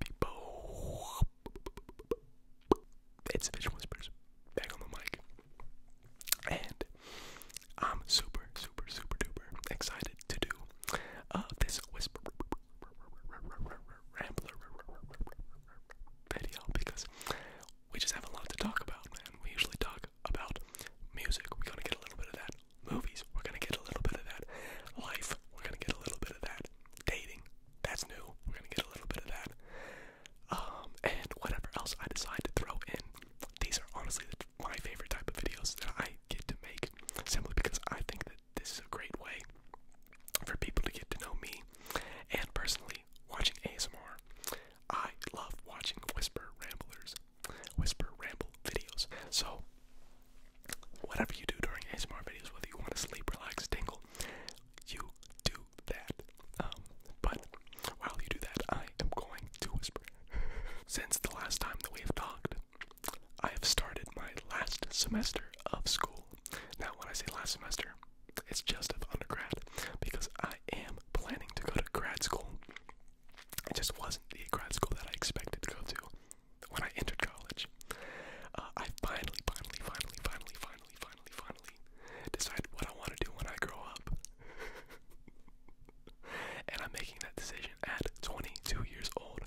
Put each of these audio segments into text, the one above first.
people. It's Fish Whispers back on the mic. And I'm super, super, super duper excited to do uh, this whisper rambler video because we just have a lot to talk about, man. We usually talk about music. We're gonna get a little bit of that movies, we're gonna get a little bit of that. Life, we're gonna get a little bit of that. Dating, that's new, we're gonna get a little bit of that. Um, and whatever else I decide to throw in. These are honestly my favorite type of videos that I get to make, simply because I think that this is a great way for people to get to know me. And personally, watching ASMR, I love watching Whisper Ramblers, Whisper Ramble videos. So, whatever you do during ASMR videos, whether you want to sleep, relax, tingle, you do that. Um, but while you do that, I am going to whisper. Since the last time that we have talked, I have started my last semester of school. Now, when I say last semester, it's just of undergrad because I am planning to go to grad school. It just wasn't the grad school that I expected to go to when I entered college, uh, I finally, finally, finally, finally, finally, finally, finally decided what I want to do when I grow up. and I'm making that decision at 22 years old,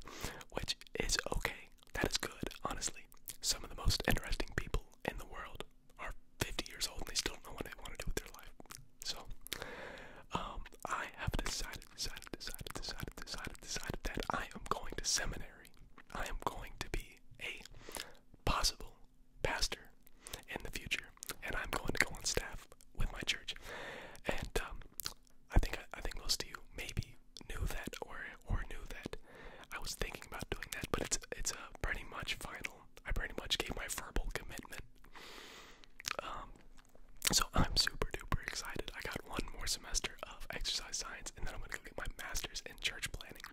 which is okay. That is good, honestly. Some of the most interesting people in the world are 50 years old and they still don't know what they want to do with their life. So, um, I have decided decided, decided, decided, decided, decided, that I am going to seminary. I am going to be a possible pastor in the future, and I'm going to go on staff with my church. And um, I think I, think most of you maybe knew that or or knew that I was thinking about doing that, but it's it's a pretty much final. I pretty much gave my verbal commitment um, so I'm super duper excited. I got one more semester of exercise science, and then I'm gonna get my master's in church planning.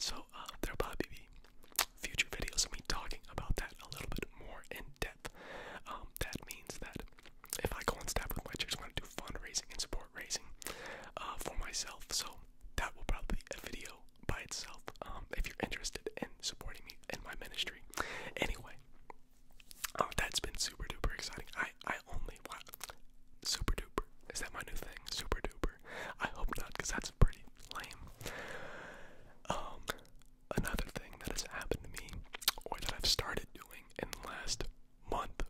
So uh, there'll probably be future videos of me talking about that a little bit more in depth. Um, that means that if I go on staff with my church, I'm gonna do fundraising and support raising uh, for myself. So that will probably be a video by itself um, if you're interested in supporting me in my ministry. Anyway, Oh, that's been super duper exciting. I I only wow, super duper. Is that my new thing? Super duper. I hope not, because that's pretty lame. Um, another thing that has happened to me, or that I've started doing in the last month,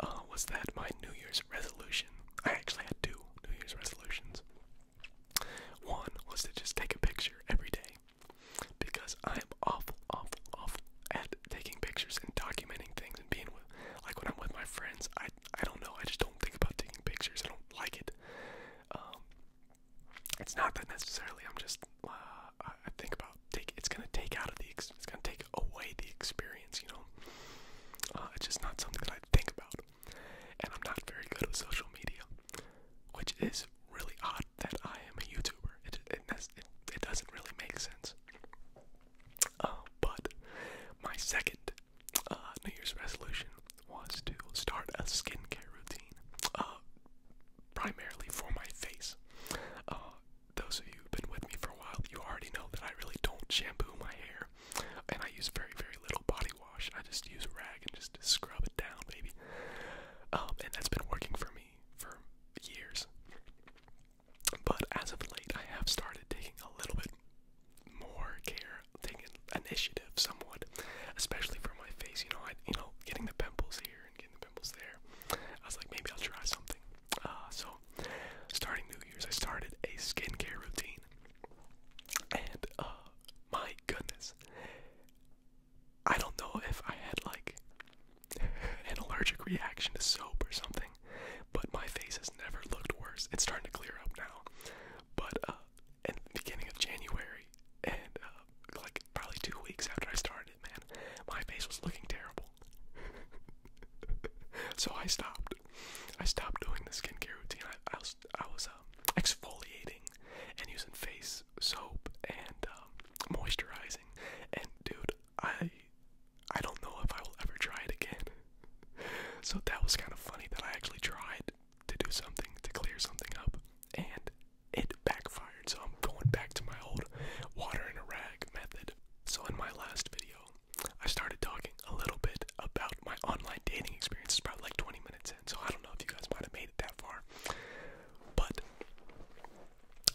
uh, was that my New Year's resolution. I actually had two New Year's resolutions. One was to just take a picture every day because I am awful, awful, awful at taking pictures and documenting things and being with, like when I'm with my friends, I I don't know, I just don't think about taking pictures. I don't like it. Um, it's not that necessarily. I'm just uh, I think about take. It's gonna take out of the. It's gonna take away the experience. You know, uh, it's just not something that I think about, and I'm not very good with social media which is really odd that I am a YouTuber. It it, doesn't really make sense. Uh, but my second uh, New Year's resolution was to start a skincare routine, uh, primarily for my face. those of you who've been with me for a while, you already know that I really don't shampoo my hair, and I use very, very little body wash. I just use a rag and just scrub it down, baby. Um, and that's been working for me for years. But as of late, I have started taking a little bit more care, taking initiative somewhat, especially for my face. You know, I, you know, getting the pimples here and getting the pimples there. I was like, maybe I'll try something. Uh, so, starting New Year's, I started a skincare routine, and uh, my goodness, I don't know if I had like an allergic reaction to soap or something, but my face has never looked worse. It's starting to clear up now, but uh, in the beginning of January and uh, like probably two weeks after I started, man, my face was looking terrible. so I stopped. I stopped doing the skincare routine. I, I was I was um, exfoliating and using face soap and um, moisturizing. And dude, I I don't know if I will ever try it again. so that was kind of funny that I actually tried to do something to clear something up, and it backfired. So I'm going back to my old water and a rag method. So in my last video, I started talking a little bit about my online dating experience. It's probably like 20 minutes so I don't know if you guys might have made it that far. But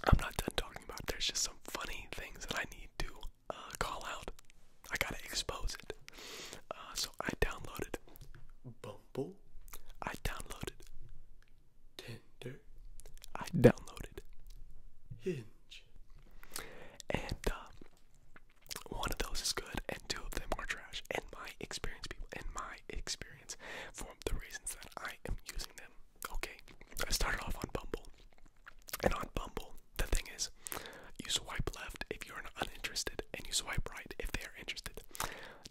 I'm not done talking about There's just some funny things that I need to uh, call out. I gotta expose it. Uh, so I downloaded Bumble. I downloaded Tinder. I downloaded Hinge. And uh, one of those is good, and two of them are trash. And my experience, people, and my experience for the reasons that I am using them. Okay, I started off on Bumble. And on Bumble, the thing is, you swipe left if you're uninterested, and you swipe right if they are interested.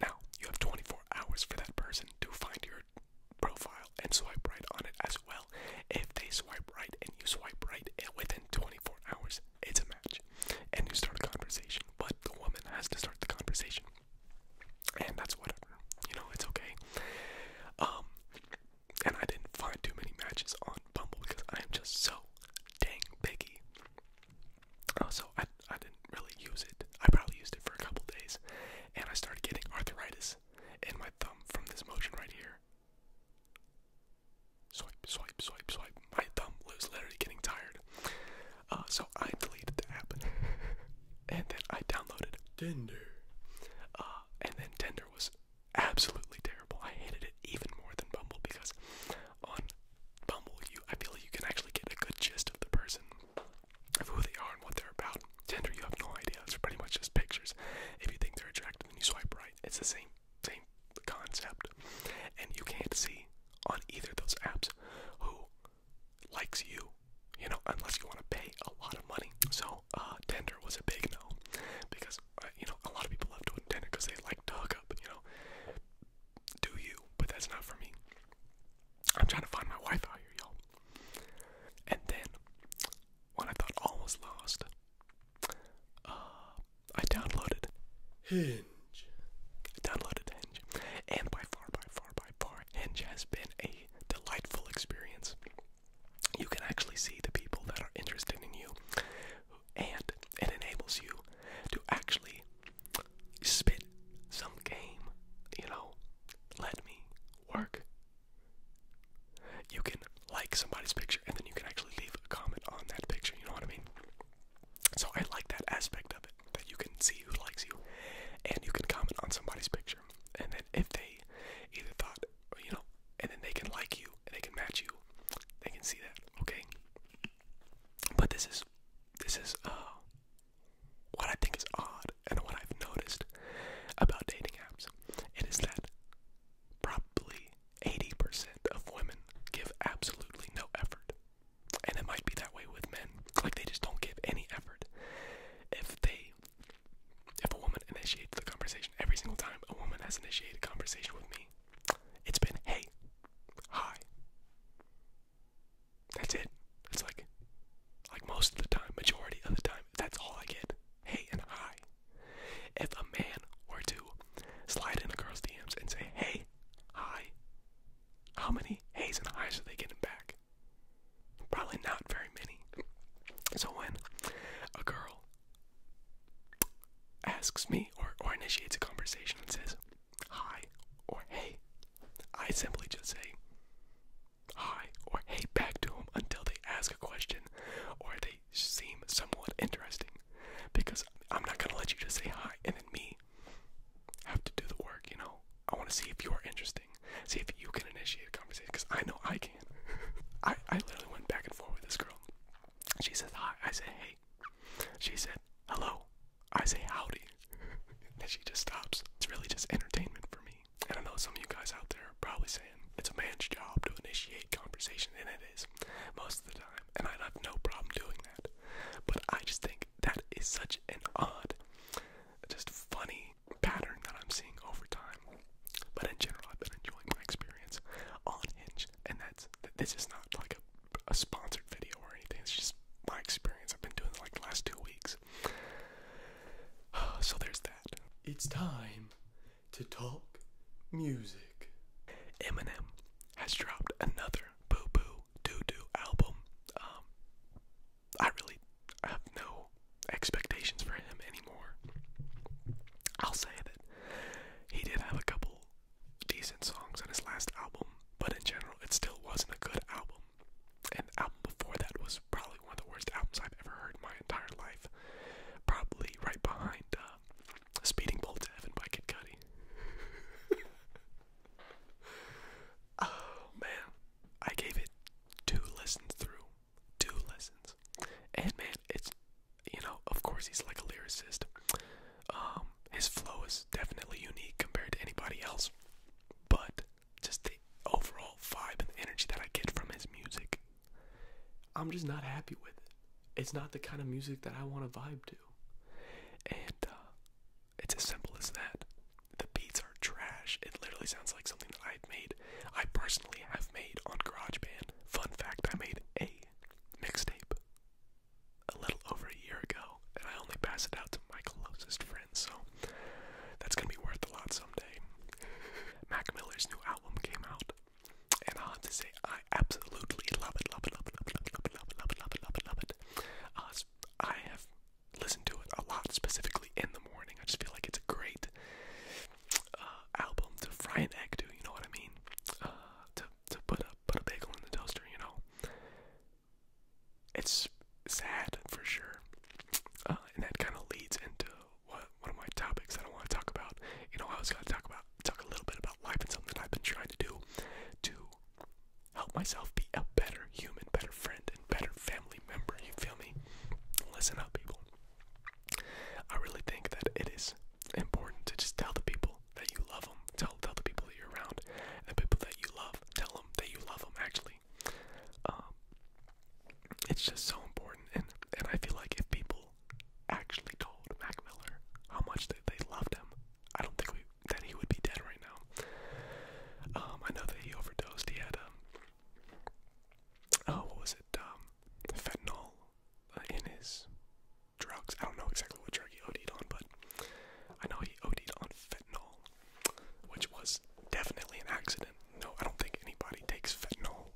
Now, you have 24 hours for that person to find your profile and swipe right on it as well. If they swipe right and you swipe right eh, within 24 hours, it's a match, and you start a conversation. But the woman has to start the conversation, and that's whatever. You know, it's okay. Um, and I didn't find too many matches on Bumble because I am just so dang picky. Uh, I I didn't really use it. I probably used it for a couple days, and I started getting arthritis in my thumb from this motion right here swipe, swipe, swipe, swipe. My thumb was literally getting tired. Uh, so I deleted the app and then I downloaded Tinder. Uh, and then Tinder was absolutely terrible. I hated it even more than Bumble because on Bumble, you I feel like you can actually get a good gist of the person, of who they are and what they're about. Tinder, you have no idea. It's pretty much just pictures. If you think they're attractive, then you swipe right. It's the same same concept. And you can't see on either of those apps who likes you, you know, unless you want to pay a lot of money. So uh, Tinder was a big no because uh, you know a lot of people love doing Tinder because they like to hook up, you know. Do you? But that's not for me. I'm trying to find my wife out here, y'all. And then when I thought all was lost, uh, I downloaded Hinge. downloaded Hinge. And by far, by far, by far, Hinge has been a delightful experience. You can actually see the people that are interested in you, and it enables you to actually spit some game. You know, let me work. You can like somebody's picture, and then you can actually leave a comment on that picture. You know what I mean? So I like that aspect of it that you can see who likes you, and you can comment on somebody's picture, and then if they either thought you know, and then they can like you and they can match you, they can see that, okay? But this is this is uh what I think is odd and what I've noticed about dating apps. It is that probably 80% of women give absolutely no effort. And it might be that way with men. Like they just don't give any effort. If they if a woman initiates the conversation every single time a woman has initiated a conversation with me, it's been hey, hi. That's it. That's like like most of the time, majority of the time, that's all I get. Hey and hi. If a man were to slide in a girl's DMs and say, hey, hi. How many hey's and highs are they getting back? Probably not very many. So when a girl asks me or initiates a conversation and says, hi or hey, I simply just say hi or hey back to them until they ask a question or they seem somewhat interesting because I'm not gonna let you just say hi and then me have to do the work, you know. I want to see if you are interesting, see if you can initiate a conversation because I know I can. I, I literally went back and forth with this girl. She says hi, I say hey. She said hello, I say howdy. and she just stops. It's really just entertainment for me. And I know some of you guys out there are probably saying it's a man's job to initiate conversation, and it is most of the time and i have no problem doing that. But I just think that is such an odd, just funny pattern that I'm seeing over time. But in general, I've been enjoying my experience on Hinge, and that's this is not like a, a sponsored video or anything. It's just my experience. I've been doing it like the last two weeks. So there's that. It's time to talk music. Eminem has dropped another boo boo doo doo album. Um, I really have no expectations for him anymore. I'll say that he did have a couple decent songs on his last album, but in general, it still wasn't a good album. And the album before that was probably one of the worst albums I've ever heard in my entire life. Probably right behind uh, Speeding Bolt to Heaven by Kid Cudi. oh man, I gave it two lessons through, two lessons, and man, it's you know, of course he's like a lyricist. Um, his flow is definitely unique compared to anybody else, but just the overall vibe and the energy that I get from his music I'm just not happy with it. It's not the kind of music that I want to vibe to. And uh, it's as simple as that. The beats are trash. It literally sounds like something I've made. I personally have made on GarageBand. Fun fact I made a mixtape a little over a year ago, and I only pass it out to my closest friends, so that's gonna be worth a lot someday. Mac Miller's new album came out. And I have to say, I absolutely love it, love it, love it, love it, love it, love it, love it, love it, love it, love it. Uh, I have listened to it a lot, specifically in the morning. I just feel like it's a great uh, album to fry an egg to. You know what I mean? Uh, to to put a put a bagel in the toaster. You know, it's sad for sure, uh, and that kind of leads into one of my topics I don't want to talk about. You know, I was gonna talk about talk a little bit about life and something that I've been trying to do to help myself be a better human, better friend, and better family member. You feel me? Listen up, people. I really think that it is important to just tell the people that you love them. Tell tell the people that you're around, the people that you love. Tell them that you love them. Actually, um, it's just so important, and and I feel like if people actually told Mac Miller how much they, loved him, I don't think that he would be dead right now. Um, I know that he overdosed. He had, um, oh, what was it? Um, fentanyl uh, in his drugs. I don't know exactly what drug he OD'd on, but I know he OD'd on fentanyl, which was definitely an accident. No, I don't think anybody takes fentanyl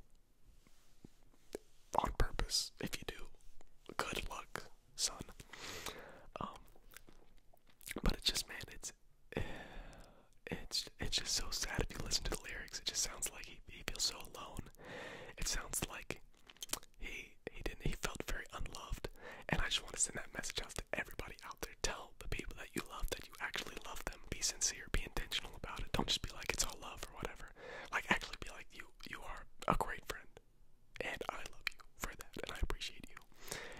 on purpose. If you do, good luck, son. Um, but it's just, man, it's eh, it's it's just so sad. If you listen to the lyrics, it just sounds like he, he feels so alone. It sounds like he he didn't he felt very unloved. And I just want to send that message out to everybody out there. Tell the people that you love that you actually love them. Be sincere. Be intentional about it. Don't just be like it's all love or whatever. Like actually be like you you are a great friend. And I love you for that and I appreciate you.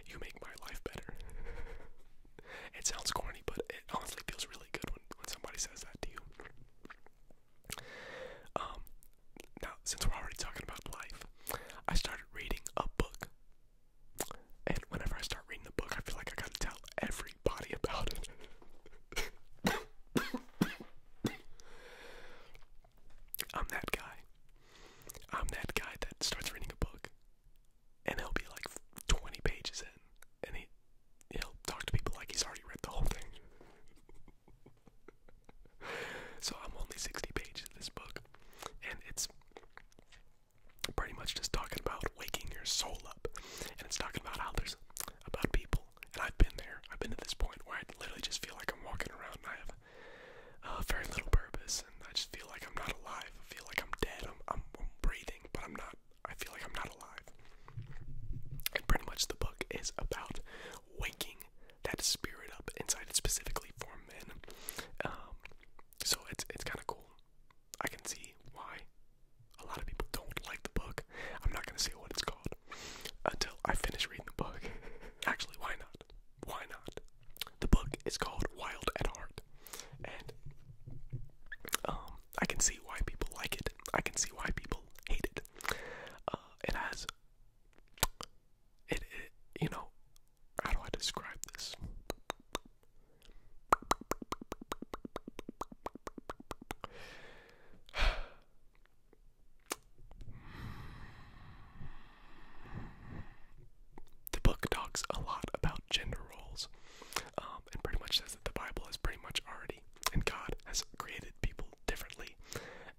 You make my life better. it sounds corny, but it honestly feels really good when, when somebody says that to you. Um now since we're already talking about life, I started reading a book. And whenever I start reading the book, I feel like I gotta tell everybody about it. I'm that guy. I'm that guy that starts reading a book, and he'll be like 20 pages in, and he will talk to people like he's already read the whole thing. so I'm only 60 pages of this book, and it's pretty much just talking about waking your soul up. And it's talking about how there's about people. And I've been there. I've been to this point where I literally just feel like I'm walking around and I have uh, very little purpose. And I just feel like I'm not alive. I feel like I'm dead. I'm, I'm, I'm breathing, but I'm not. I feel like I'm not alive. And pretty much the book is about waking that spirit up inside, specifically for men. Um, so it's it's kind of cool. I can see why a lot of people don't like the book. I'm not gonna say what it's called until I finish reading the book. Actually, why not? Why not? The book is called Wild at Heart, and um, I can see why people like it. I can see why people hate it. Uh, it has it, you know, how do I describe this? The book talks a lot about gender roles, um, and pretty much says that the Bible is pretty much already, and God has created people differently,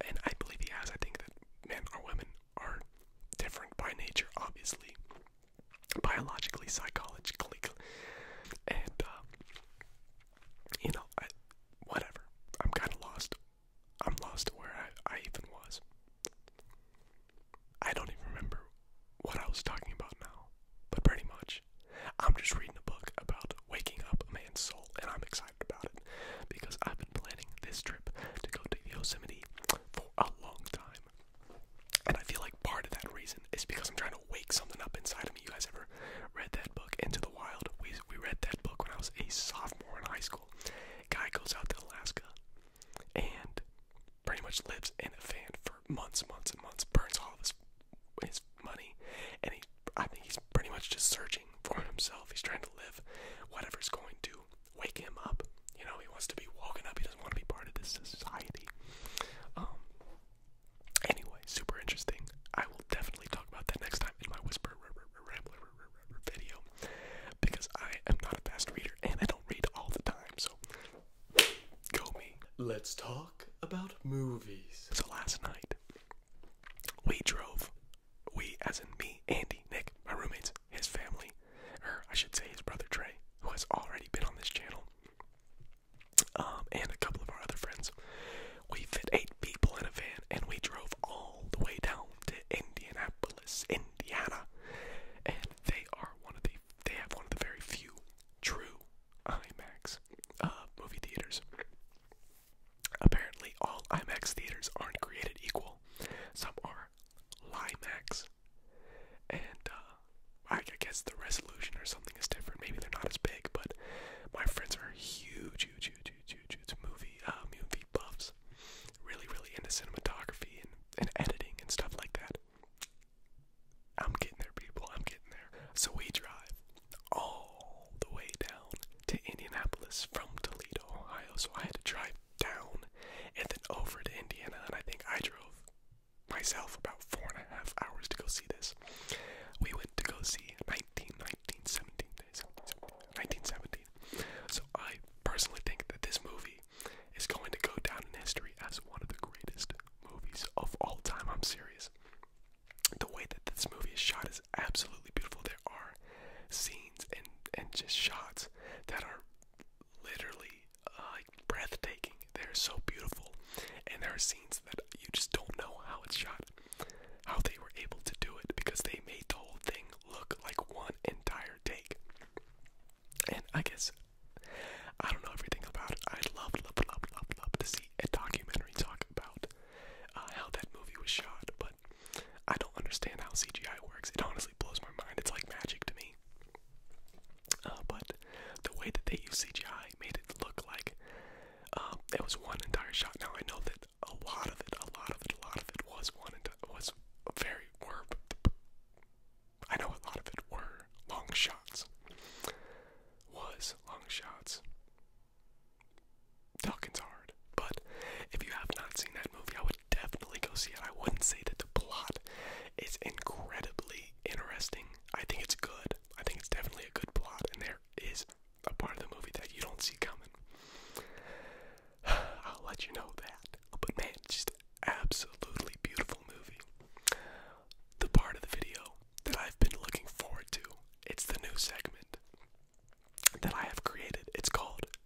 and I believe He has. I think that men or women are different by nature, obviously, biologically, psychologically, and um, you know, I, whatever. I'm kind of lost. I'm lost to where I, I even was. I don't even remember what I was talking about now, but pretty much, I'm just reading a book about waking up a man's soul, and I'm excited about it because I've been planning this trip to go to Yosemite for a long time. And I feel like part of that reason is because I'm trying to wake something up inside of me. You guys ever read that book, Into the Wild? We, we read that book when I was a sophomore in high school. Guy goes out to Alaska and pretty much lives in a van for months, months, and months, burns all of his, his money, and he, I think he's pretty much just searching for himself. He's trying to live whatever's going to wake him up. You know, he wants to be walking up. He doesn't want to be part of this society. Um. Anyway, super interesting. I will definitely talk about that next time in my whisper rambler video because I am not a fast reader and I don't read all the time. So go me. Let's talk about movies. So last night we drove. We, as in me, Andy, Nick, my roommates, his family, or I should say his brother Trey, who has already been on this channel, um, and a couple of our other friends. We fit eight people in a van and we drove all the way down to Indianapolis, Indiana, and they are one of the they have one of the very few true IMAX uh, movie theaters. Apparently, all IMAX theaters aren't created equal. Some are for Limax. And uh, I guess the resolution or something is different. Maybe they're not as big, but my friends are huge, huge, huge, huge, huge, huge movie, uh, movie buffs. Really, really into cinematography and, and editing and stuff like that. I'm getting there, people. I'm getting there. So we drive all the way down to Indianapolis from Toledo, Ohio. So I had to drive down and then over to Indiana, and I think I drove myself about four and a half hours to go see this. We went to go see 19, 1917. So I personally think that this movie is going to go down in history as one of the greatest movies of all time. I'm serious. The way that this movie is shot is absolutely beautiful. There are scenes and and just shots that are literally absolutely uh, like breathtaking. They're so beautiful, and there are scenes that you just don't know how it's shot, how they were able to do it because they made the whole thing look like one entire take. And I guess I don't know everything about it. I'd love, to see a documentary talk about uh, how that movie was shot, but I don't understand how CGI works. It honestly blows my mind. It's like magic to me. Uh, but the way that they used CGI made it look like um, it was one entire shot. Now I know that a lot of it, a lot of it, a lot of it was one and was very I know a lot of it were long shots. Was long shots. Talking's hard, but if you have not seen that movie, I would definitely go see it. I wouldn't say that the plot is incredibly interesting. I think it's good. I think it's definitely a good plot, and there is a part of the movie that you don't see coming. I'll let you know that. But man, it's just absolutely beautiful movie. The part of the video that I've been looking forward to, it's the new segment that I have created. It's called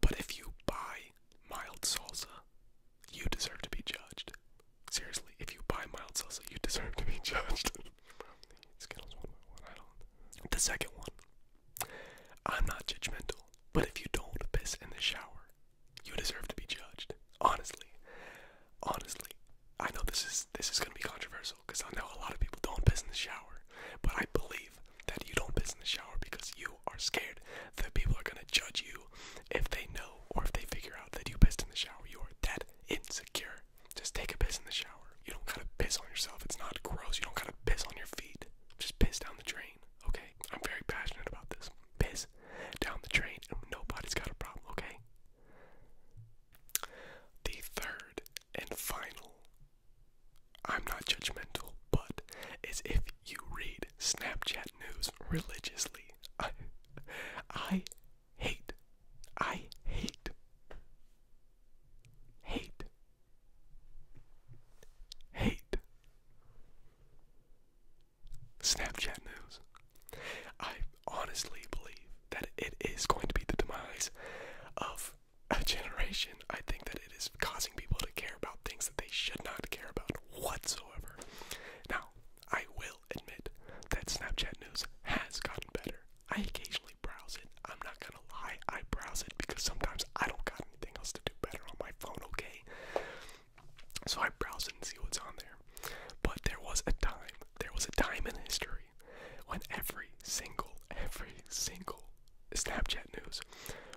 but if you buy mild salsa, you deserve to be judged. Seriously, if you buy mild salsa, you deserve to be judged. The second one, I'm not judgmental, but if you don't piss in the shower, you deserve to be judged. Honestly, honestly, I know this is this is gonna be controversial because I know a lot of people don't piss in the shower, but I believe that you don't piss in the shower because you are scared that people are gonna judge you if they know or if they figure out that you pissed in the shower. You are that insecure. Just take a piss in the shower. You don't gotta piss on yourself. It's not gross. You don't gotta piss on your feet. Just piss down the drain, okay? I'm very passionate about this. Piss down the drain, and nobody's got a problem, okay? The third and final I'm not judgmental, but as if you read Snapchat news religiously. I, I hate, I hate, hate, hate Snapchat news. I honestly believe that it is going to be the demise of a generation, I think that it is causing people to care about things that they should not care about whatsoever. Now, I will admit that Snapchat News has gotten better. I occasionally browse it. I'm not gonna lie, I browse it because sometimes I don't got anything else to do better on my phone, okay? So I browse it and see what's on there. But there was a time, there was a time in history when every single, every single Snapchat news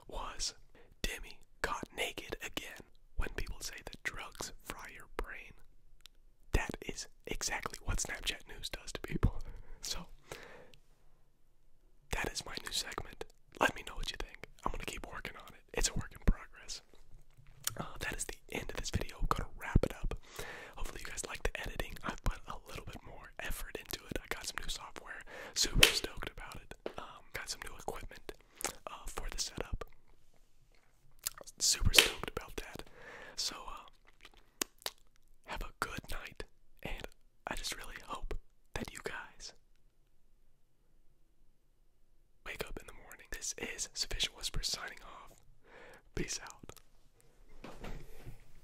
was Demi caught naked again. When people say that drugs fry your brain, that is exactly what Snapchat news does to people. So, that is my new segment. Let me know what you think. I'm gonna keep working on it. It's a work in progress. Uh, that is the end of this video. gonna wrap it up. Hopefully, you guys like the editing. i put a little bit more more effort into it. I got some new software, super stoked about it. Um, got some new equipment uh, for the setup. Super stoked about that. So, uh, have a good night, and I just really hope that you guys wake up in the morning. This is Sufficient Whisper signing off. Peace out.